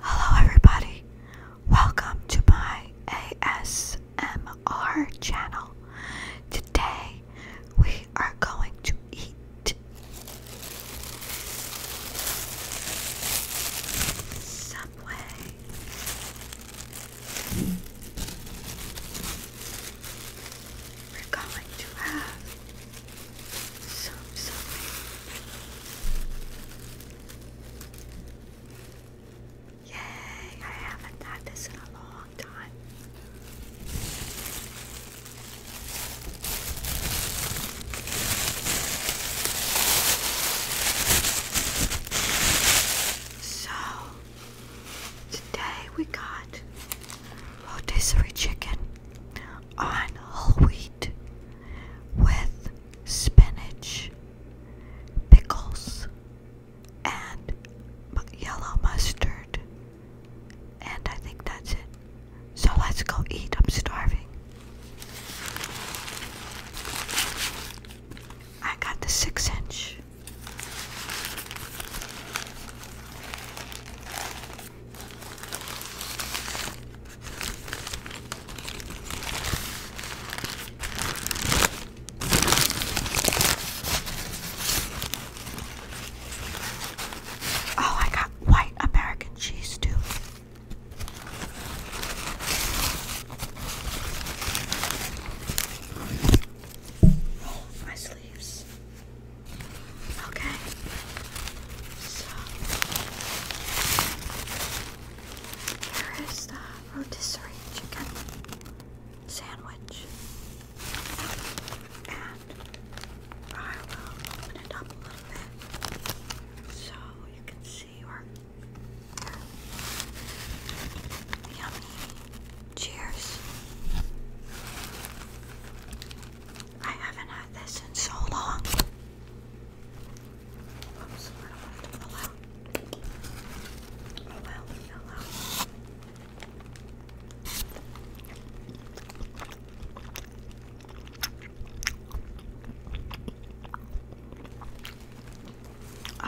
Hello, everybody. Welcome to my ASMR channel. Today we are going to eat Subway. We're going to have so Yay! I haven't had this in a long time. So today we got rotisserie chicken on whole wheat with spinach, pickles, and yellow mustard. And I think that's it. So let's go eat. I'm starving. I got the six inch. Oh, I got white American cheese too. my sleeves. Okay. So here is the rotisserie chicken sandwich. And I will open it up a little bit so you can see our yummy cheers. I haven't had this in so long. Oh,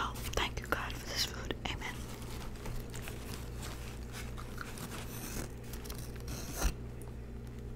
oh, thank you, God, for this food. Amen.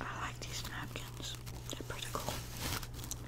I like these napkins. They're pretty cool.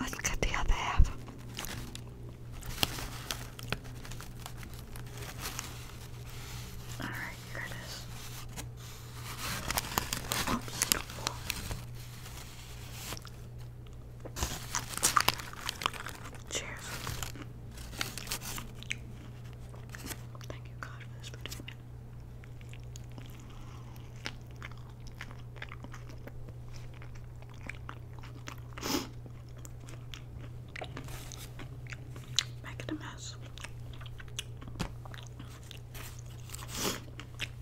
let's cut the other half. Alright, here Cheers. Thank you, God, for this predicament. a mess.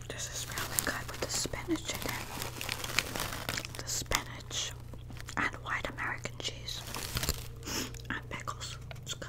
This is really good with the spinach in it. The spinach and white American cheese and pickles. It's good.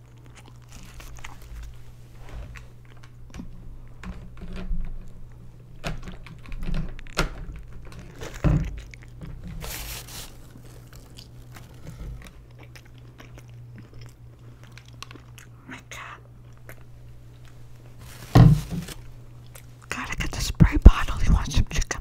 Oh my God. Gotta get the spray bottle. He wants some chicken.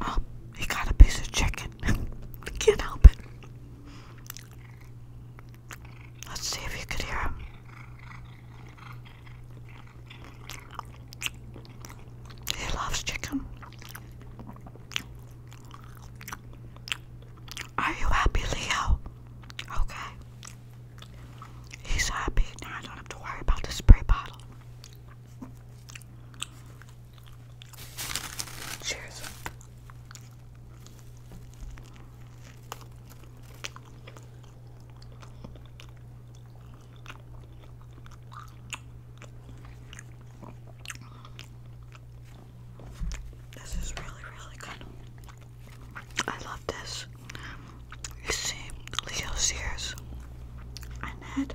Oh, he got a piece of chicken. I can't help it. Let's see if you could hear He loves chicken. Are you happy, Leo? Okay. He's happy now. I don't have to worry about the spray bottle. Cheers. This is really, really good. I love this. You see, Leo Sears and Ned.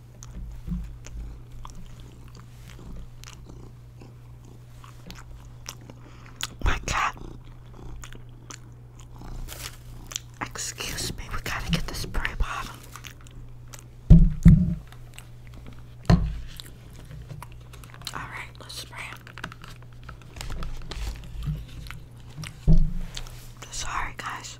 My cat. Excuse me, we gotta get the spray bottle. Alright, let's spray it. Sorry, guys.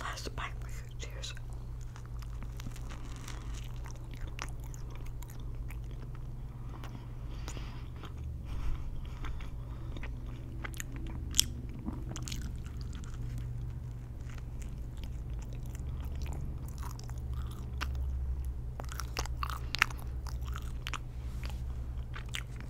Last bite, tears.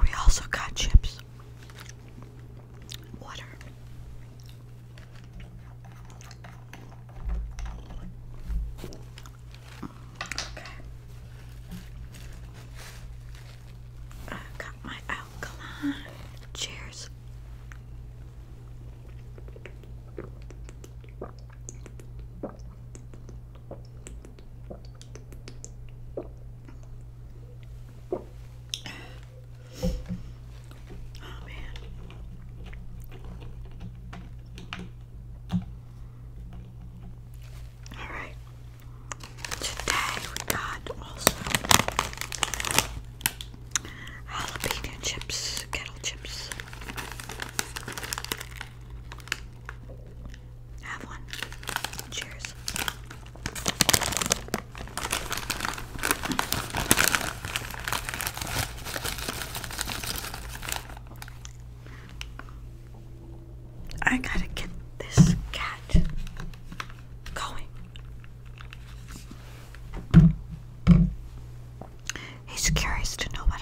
We also got chips, water. Okay. I got my alkaline. Cheers. Oh man. Alright. Today we got also jalapeno chips, kettle chips. Have one. Cheers. I gotta get this cat going. He's curious to know what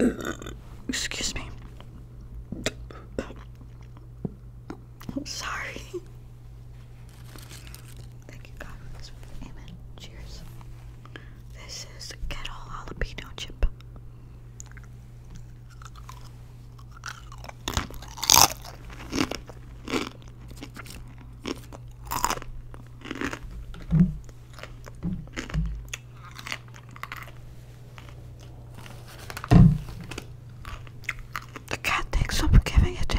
I'm eating. Excuse me. I'm sorry. Thank you, God. Amen. Cheers. This is kettle jalapeno chip. The cat thinks I'm giving it to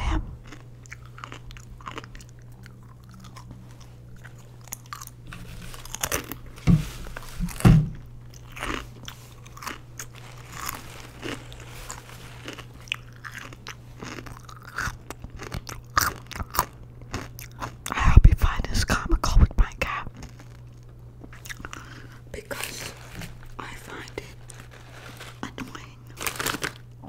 I hope you find this comical with my cat because I find it annoying.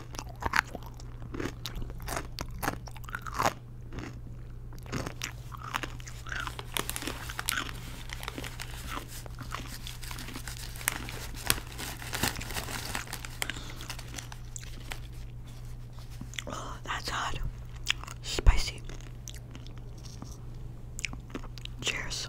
Oh, that's hot. Spicy. Cheers.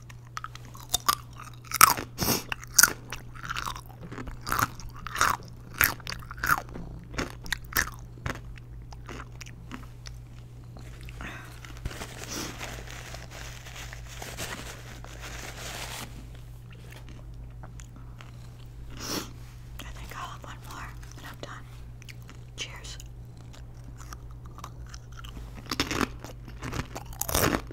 I think I'll have one more and I'm done. Cheers.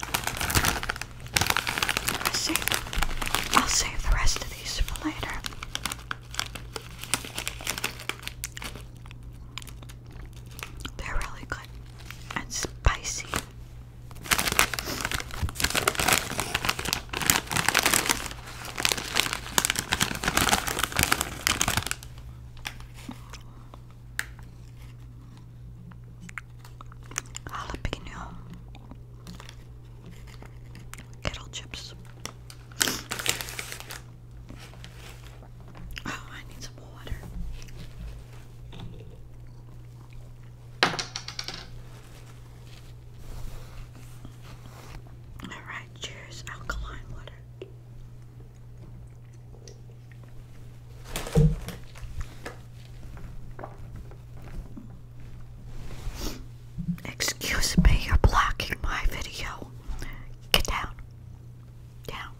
I will save the rest of these for later. They're really good and spicy jalapeno kettle chips. Oh, I need some water. All right, cheers, alkaline water. Excuse me, you're blocking my video. Get down. Down.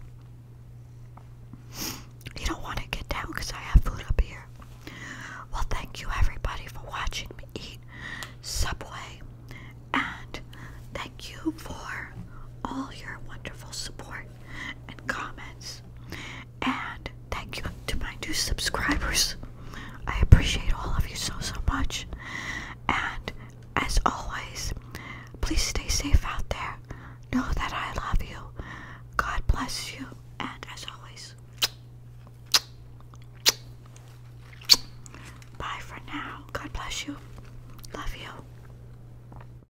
You don't want to get down because I have food up here. Well, thank you everybody for watching me eat Subway. And thank you for all your wonderful support and comments. And thank you to my new subscribers. I appreciate all of you so, so much. And as always, please stay safe out there. Know that I love you. God bless you. And as always, bye for now. God bless you. Love you.